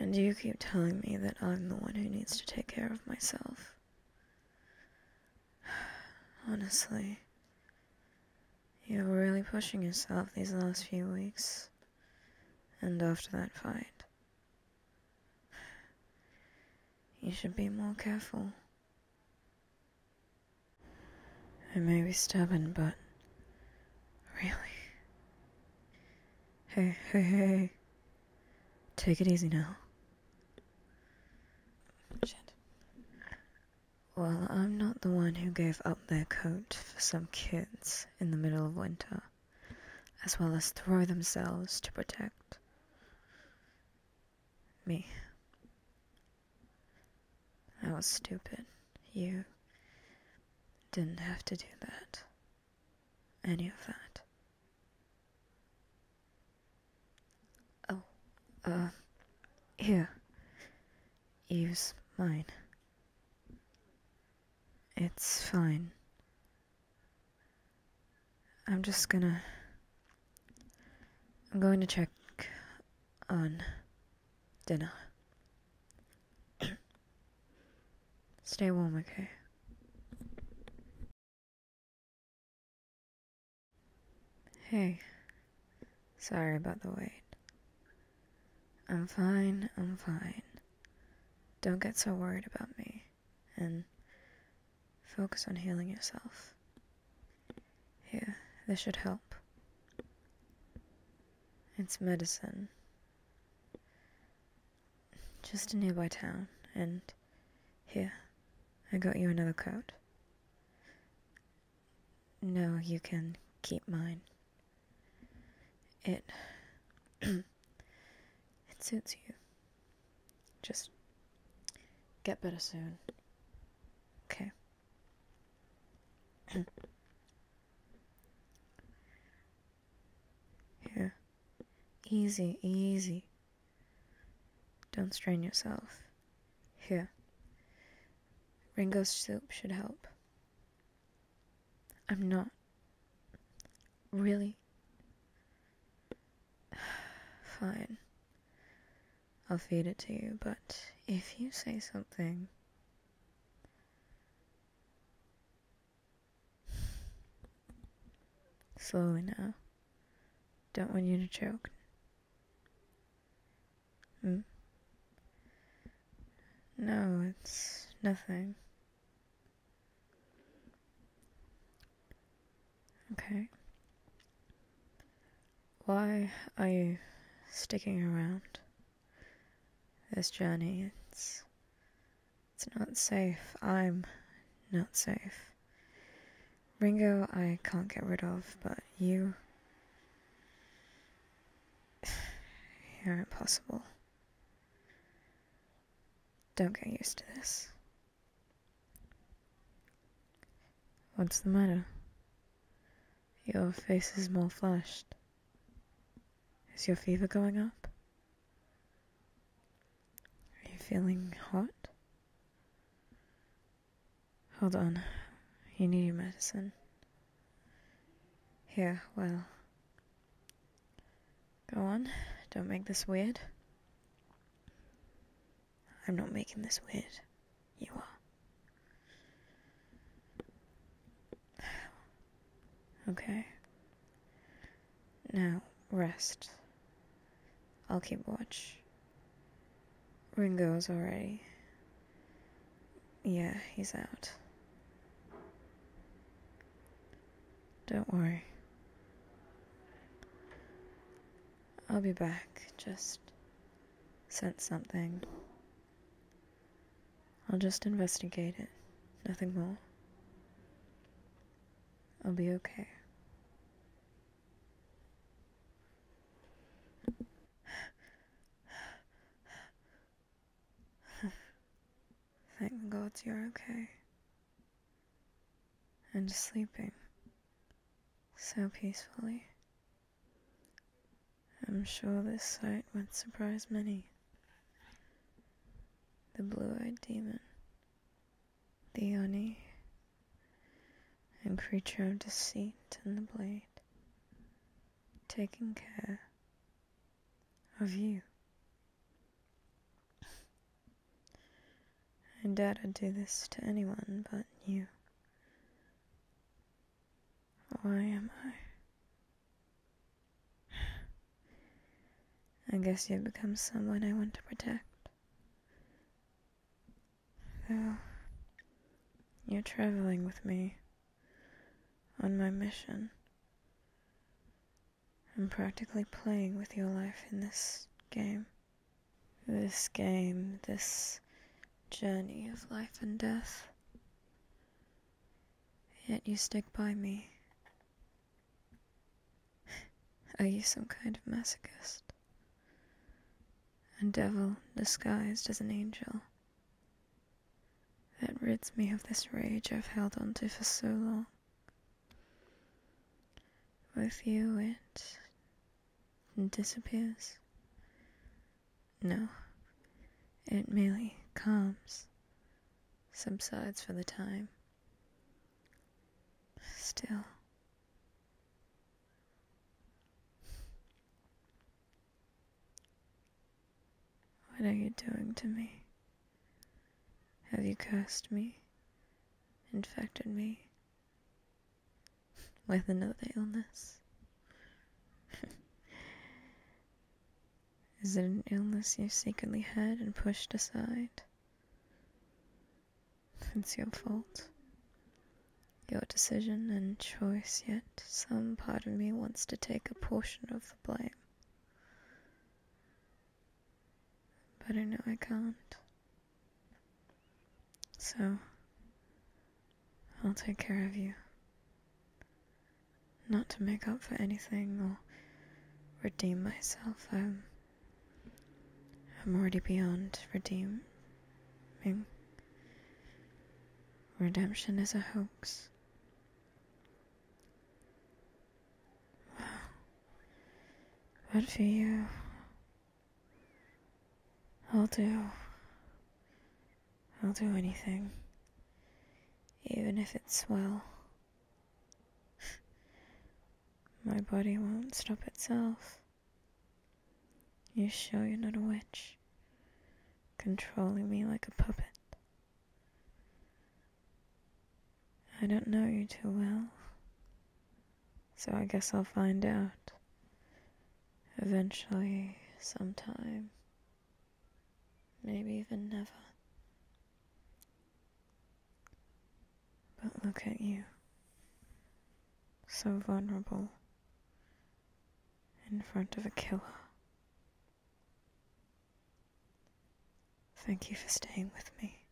And you keep telling me that I'm the one who needs to take care of myself. Honestly, you're really pushing yourself these last few weeks. And after that fight, you should be more careful. I may be stubborn, but really, Hey, hey, hey. Take it easy now. Well, I'm not the one who gave up their coat for some kids in the middle of winter, as well as throw themselves to protect me. That was stupid. You didn't have to do that. Any of that. Oh, uh, here. Use mine. It's fine. I'm just gonna. I'm going to check on dinner. Stay warm, okay? Hey, sorry about the wait. I'm fine, I'm fine. Don't get so worried about me, and focus on healing yourself. Here, this should help. It's medicine. Just a nearby town, and here, I got you another coat. No, you can keep mine. It. it suits you. Just get better soon. Okay. Here. Easy, easy. Don't strain yourself. Here. Ringo's soup should help. I'm not. Really? Fine. I'll feed it to you, but if you say something. Slowly now. Don't want you to choke. Hmm? No, it's nothing. Okay. Why are you sticking around? This journey, it's. It's not safe. I'm not safe. Ringo, I can't get rid of, but you. You're impossible. Don't get used to this. What's the matter? Your face is more flushed. Is your fever going up? Are you feeling hot? Hold on. You need your medicine. Here, well. Go on. Don't make this weird. I'm not making this weird you are. Okay. Now, rest. I'll keep watch. Ringo's already. Yeah, he's out. Don't worry. I'll be back. Just sense something. I'll just investigate it, nothing more. I'll be okay. Thank God you're okay. And sleeping so peacefully. I'm sure this sight would surprise many. The blue eyed demon, the Oni, and creature of deceit and the blade, taking care of you. I doubt I'd do this to anyone but you. Why am I? I guess you've become someone I want to protect. Though, you're traveling with me on my mission. I'm practically playing with your life in this game. This game, this journey of life and death. Yet you stick by me. Are you some kind of masochist? A devil disguised as an angel. That rids me of this rage I've held on to for so long. With you, it disappears. No. It merely calms, subsides for the time. Still. What are you doing to me? Have you cursed me? Infected me? with another illness. Is it an illness you secretly had and pushed aside? It's your fault. Your decision and choice, yet some part of me wants to take a portion of the blame. But I know I can't. So, I'll take care of you. Not to make up for anything or redeem myself. I'm, I'm already beyond redeeming. Redemption is a hoax. But for you, I'll do. I'll do anything. Even if it's well. My body won't stop itself. You show you're not a witch, controlling me like a puppet. I don't know you too well. So I guess I'll find out. Eventually, sometime. Maybe even never. But look at you. So vulnerable. In front of a killer. Thank you for staying with me.